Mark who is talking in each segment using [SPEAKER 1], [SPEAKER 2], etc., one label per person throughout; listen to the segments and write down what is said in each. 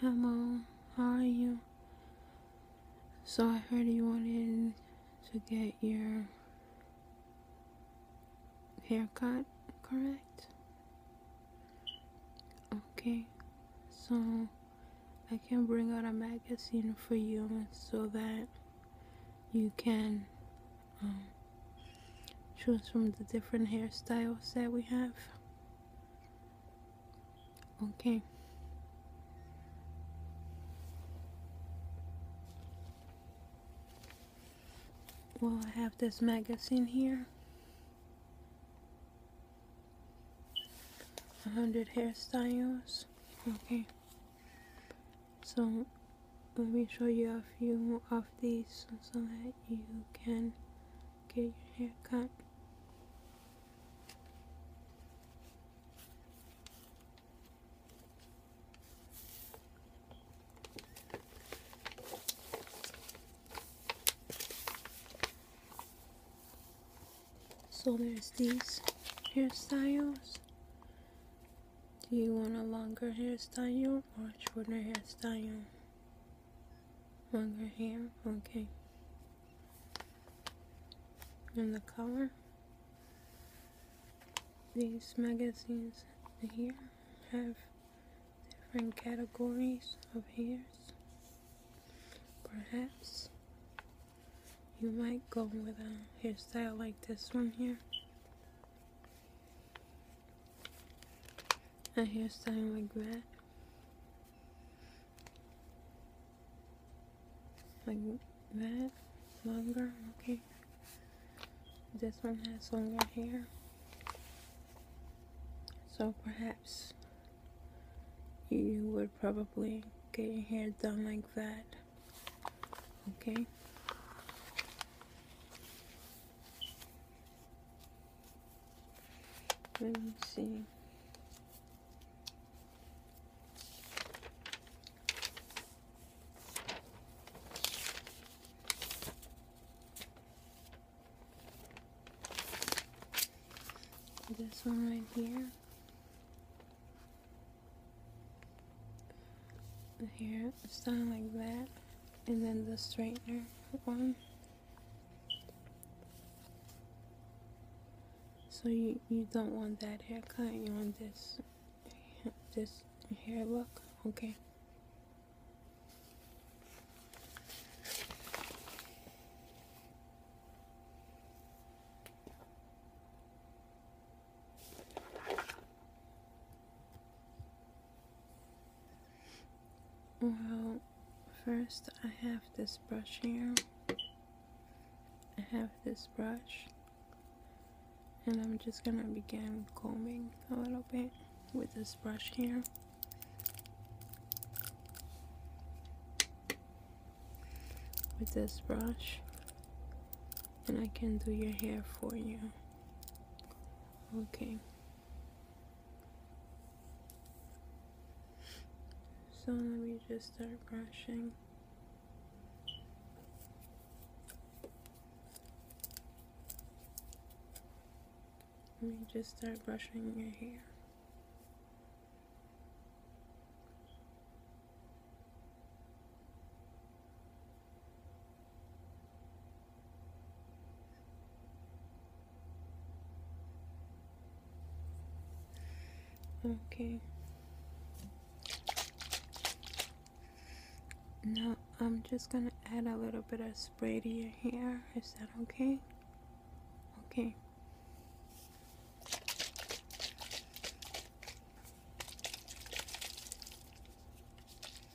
[SPEAKER 1] Hello, how are you? So I heard you wanted to get your haircut, correct? Okay, so I can bring out a magazine for you so that you can um, choose from the different hairstyles that we have okay well I have this magazine here 100 hairstyles okay so let me show you a few of these so that you can get your hair cut. So there's these hairstyles do you want a longer hairstyle or a shorter hairstyle? Longer hair? Okay. And the color? These magazines here have different categories of hairs. Perhaps you might go with a hairstyle like this one here. I hear some regret, like that longer okay this one has longer hair so perhaps you would probably get your hair done like that okay let me see this one right here the hair, it's something like that. And then the straightener one. So you, you don't want that haircut, you want this, this hair look, okay? Well, first I have this brush here. I have this brush. And I'm just gonna begin combing a little bit with this brush here. With this brush. And I can do your hair for you. Okay. So let me just start brushing. Let me just start brushing your hair. Okay. Now I'm just gonna add a little bit of spray to your hair. Is that okay? Okay.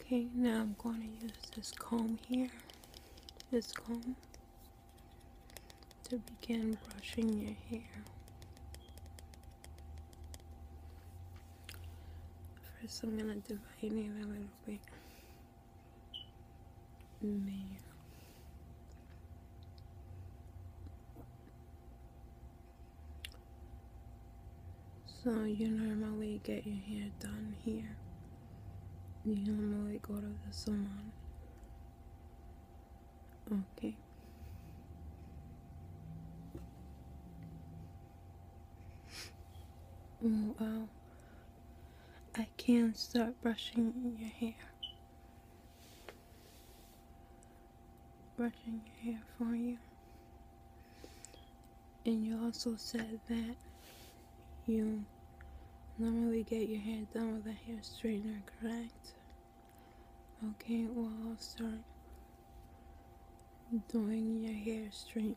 [SPEAKER 1] Okay, now I'm going to use this comb here, this comb, to begin brushing your hair. First, I'm going to divide it a little bit. Man. So you normally get your hair done here. You normally go to the salon. Okay. Oh, wow. I can't start brushing your hair brushing your hair for you. And you also said that you normally get your hair done with a hair straightener, correct? Okay, well, I'll start doing your hair straight.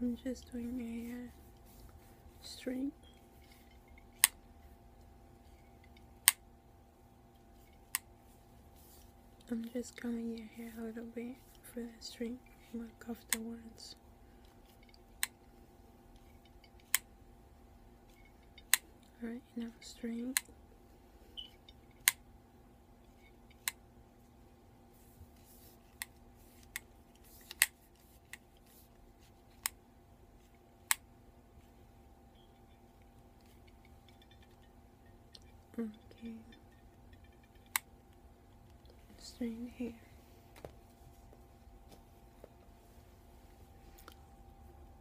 [SPEAKER 1] I'm just doing a uh, string I'm just combing your hair a little bit for the string work afterwards. Alright, enough string. Okay. String here.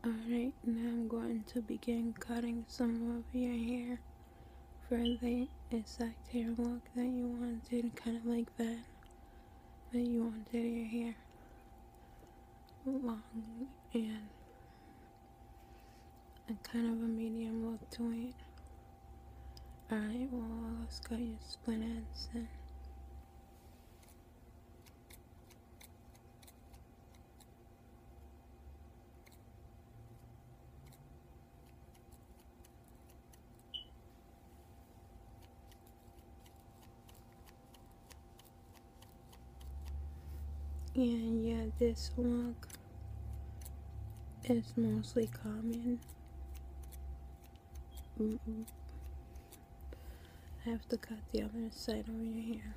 [SPEAKER 1] Alright, now I'm going to begin cutting some of your hair for the exact hair look that you wanted, kind of like that, that you wanted your hair long and a kind of a medium look to it. Alright, well, let's cut your split ends then. And yeah, this one is mostly common. I have to cut the other side over here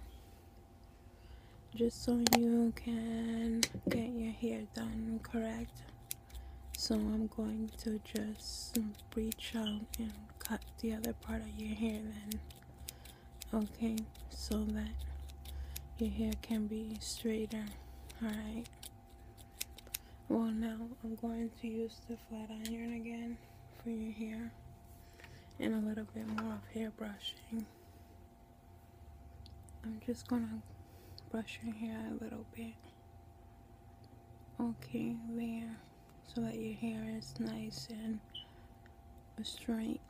[SPEAKER 1] just so you can get your hair done correct so I'm going to just reach out and cut the other part of your hair then okay so that your hair can be straighter alright well now I'm going to use the flat iron again for your hair and a little bit more of hair brushing. I'm just gonna brush your hair a little bit. Okay, there. So that your hair is nice and straight.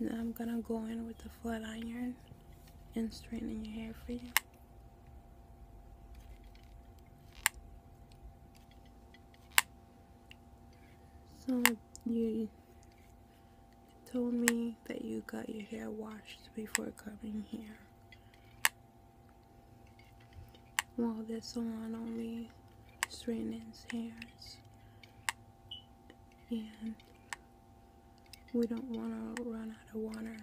[SPEAKER 1] Now I'm gonna go in with the flat iron and straighten your hair for you. So you told me that you got your hair washed before coming here. Well, this salon only straightens hairs. And we don't want to run out of water.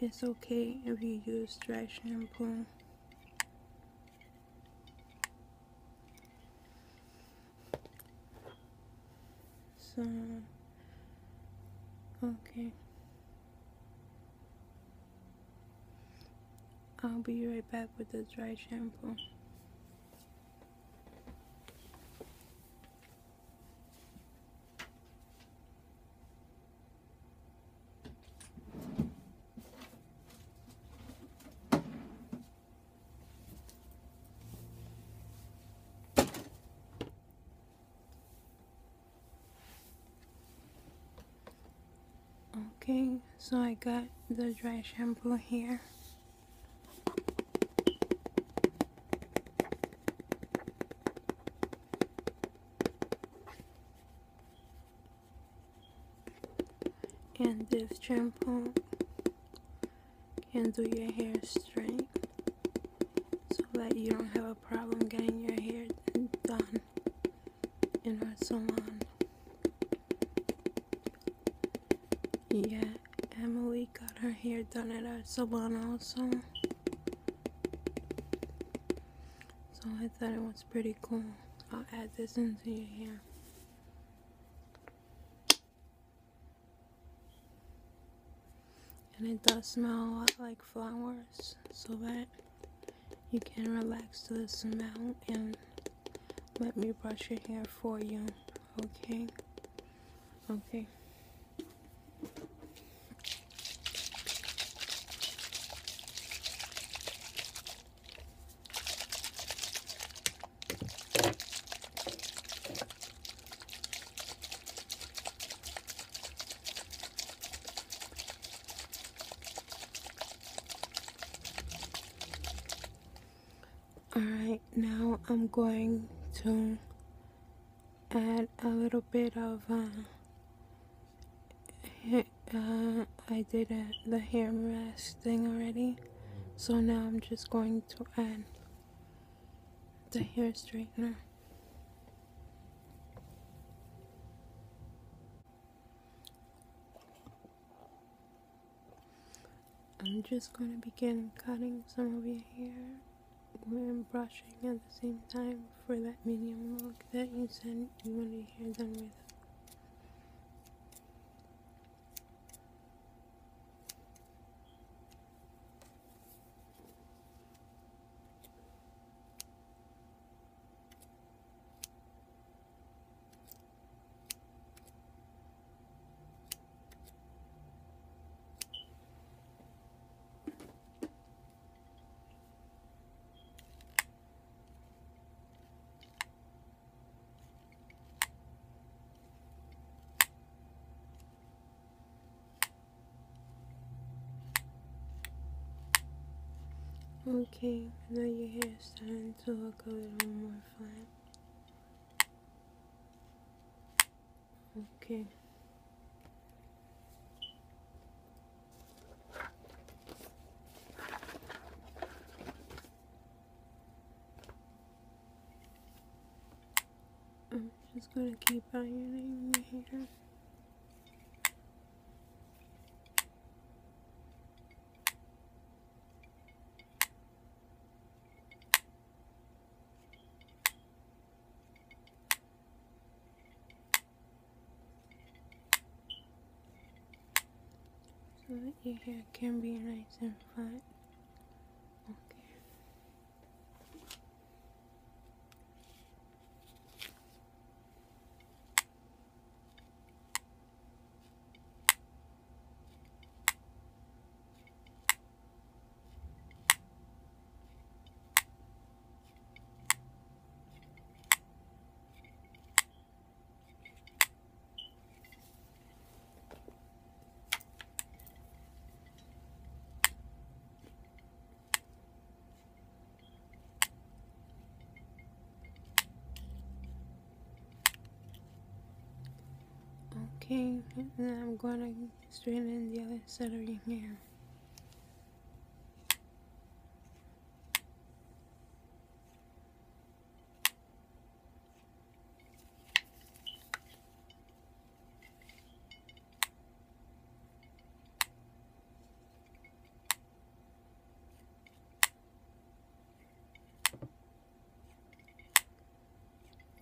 [SPEAKER 1] It's okay if you use dry shampoo. So, okay. I'll be right back with the dry shampoo. Okay, so I got the dry shampoo here and this shampoo can do your hair straight so that you don't have a problem getting your hair done in our salon. Yeah, Emily got her hair done at our salon also. So I thought it was pretty cool. I'll add this into your hair. And it does smell like flowers so that you can relax to the smell and let me brush your hair for you. Okay? Okay. Alright, now I'm going to add a little bit of uh, uh, I did the hair mask thing already, so now I'm just going to add the hair straightener. I'm just going to begin cutting some of your hair and brushing at the same time for that medium look that you said you want to hear them with. Okay, now your hair is starting to look a little more flat. Okay. I'm just going to keep ironing my hair so that your hair can be nice and flat. Okay. Okay, and I'm gonna straighten the other side of your hair.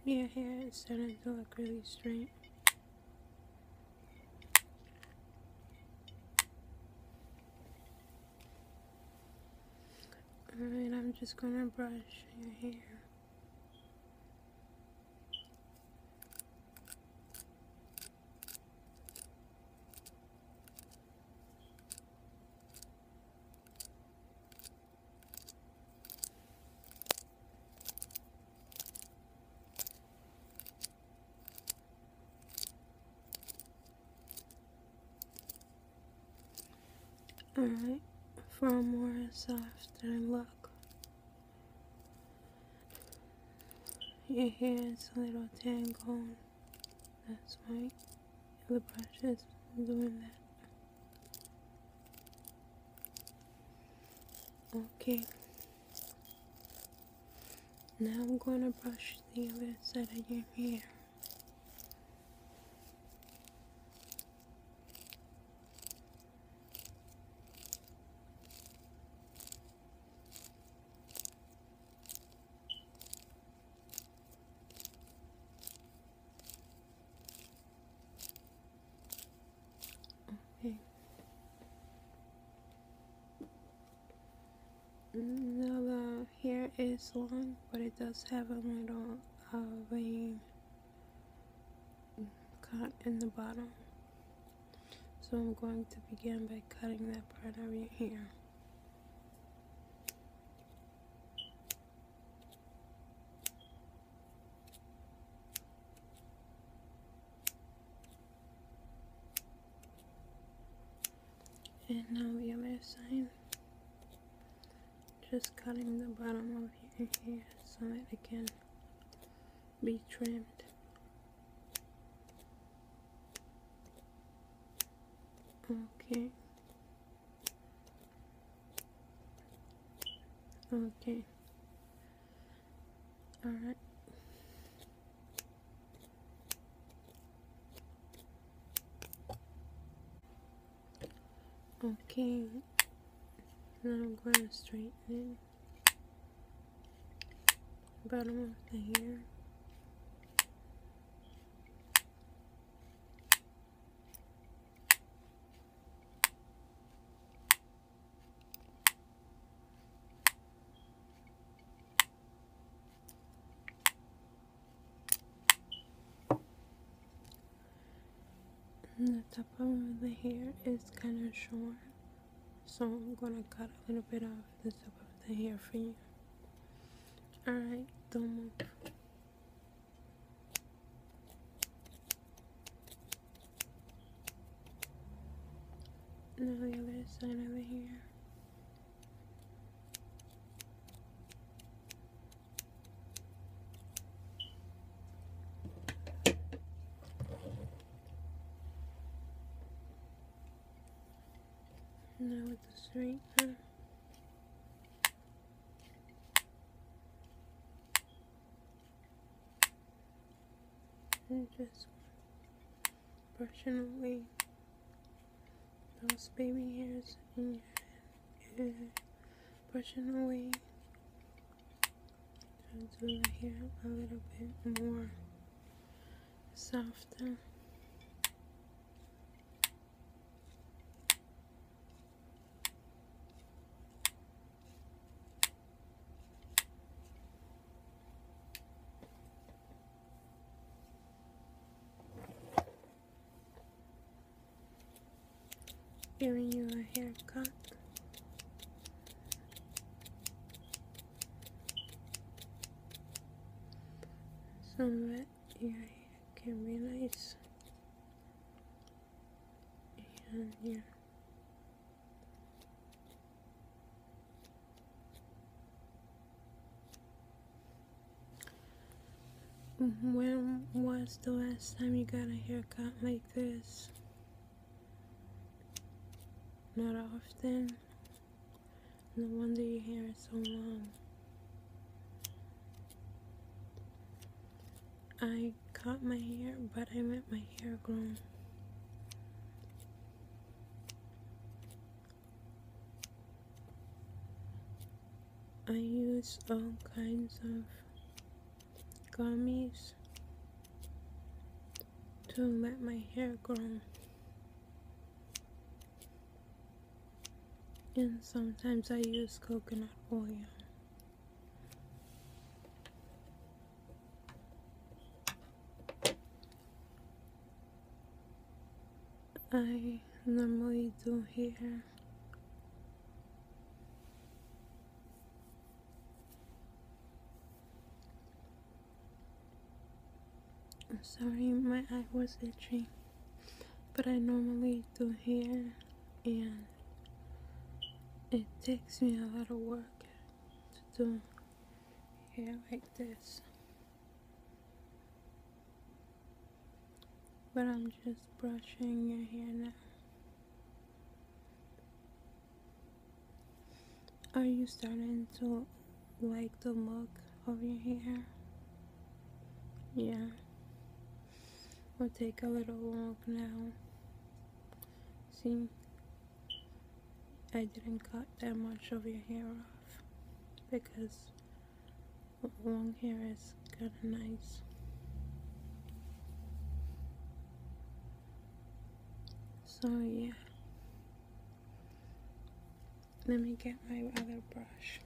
[SPEAKER 1] Yeah, hair yeah, is starting to look really straight. Alright, I'm just gonna brush your hair. Alright, for a more softer look, your hair is a little tangled. That's why the brushes doing that. Okay, now I'm going to brush the other side of your hair. Okay. Now the hair is long, but it does have a little of uh, a cut in the bottom. So I'm going to begin by cutting that part of your hair. And now we have other sign. Just cutting the bottom of here. so that it can be trimmed. Okay. Okay. Alright. Okay, now I'm going to straighten the bottom of the hair. And the top of the hair is kind of short, so I'm gonna cut a little bit off the top of the hair for you. Alright, don't move. Now the other side of the now with the straightener. And just brushing away those baby hairs in your head. Yeah. Brushing away. I'll do the hair a little bit more softer. Giving you a haircut. So that your can be nice. And yeah. When was the last time you got a haircut like this? Not often. No wonder your hair is so long. I cut my hair, but I let my hair grow. I use all kinds of gummies to let my hair grow. And sometimes I use coconut oil. I normally do here. I'm sorry my eye was itching but I normally do here and it takes me a lot of work to do hair like this but I'm just brushing your hair now. Are you starting to like the look of your hair? Yeah. We'll take a little walk now. See? I didn't cut that much of your hair off because long hair is kind of nice so yeah let me get my other brush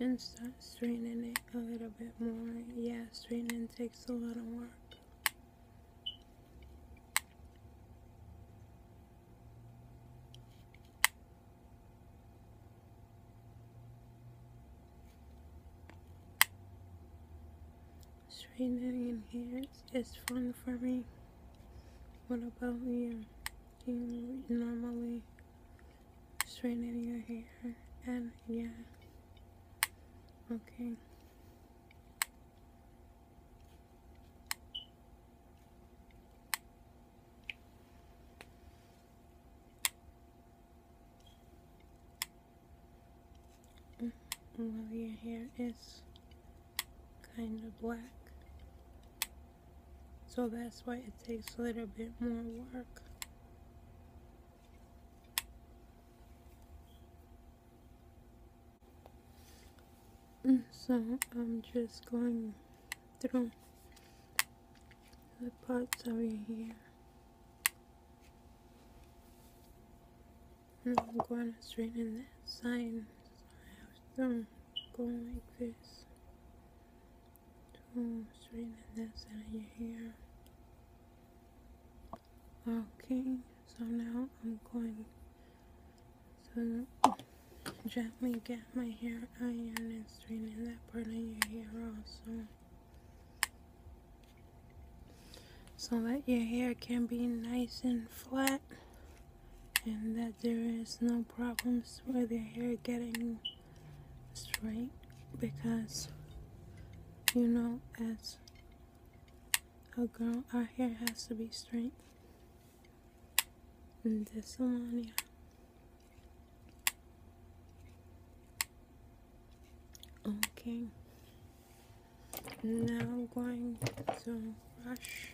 [SPEAKER 1] and start straightening it a little bit more yeah straightening takes a lot of work Straightening in here is just fun for me. What about you? you normally straightening your hair? And yeah. Okay. Mm, well, your hair is kind of black, so that's why it takes a little bit more work so I'm just going through the parts over here and I'm going to straighten that side I have some going like this to straighten that side of your hair okay so now I'm going so gently get my hair iron and straighten that part of your hair also. So that your hair can be nice and flat and that there is no problems with your hair getting straight because you know as a girl our hair has to be straight and this one, yeah. Okay, now I'm going to brush,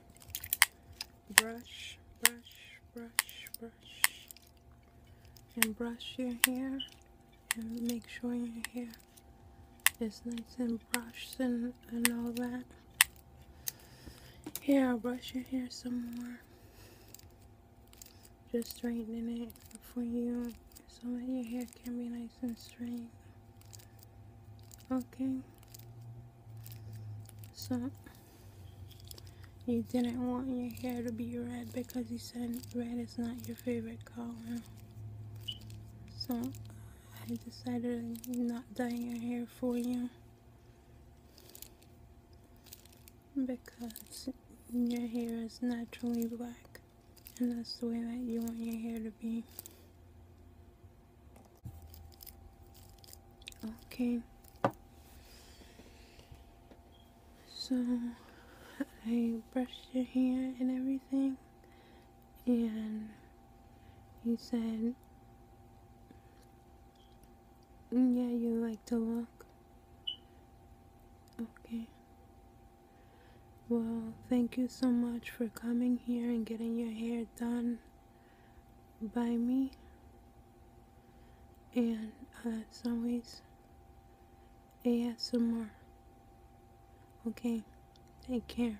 [SPEAKER 1] brush, brush, brush, brush, and brush your hair and make sure your hair it's nice and brushed and, and all that. Yeah, brush your hair some more. Just straightening it for you so that your hair can be nice and straight. Okay. So, you didn't want your hair to be red because you said red is not your favorite color. So, I decided not dye your hair for you because your hair is naturally black and that's the way that you want your hair to be okay so I brushed your hair and everything and he said, Yeah, you like to walk? Okay. Well, thank you so much for coming here and getting your hair done by me. And uh, as always, ASMR. Okay, take care.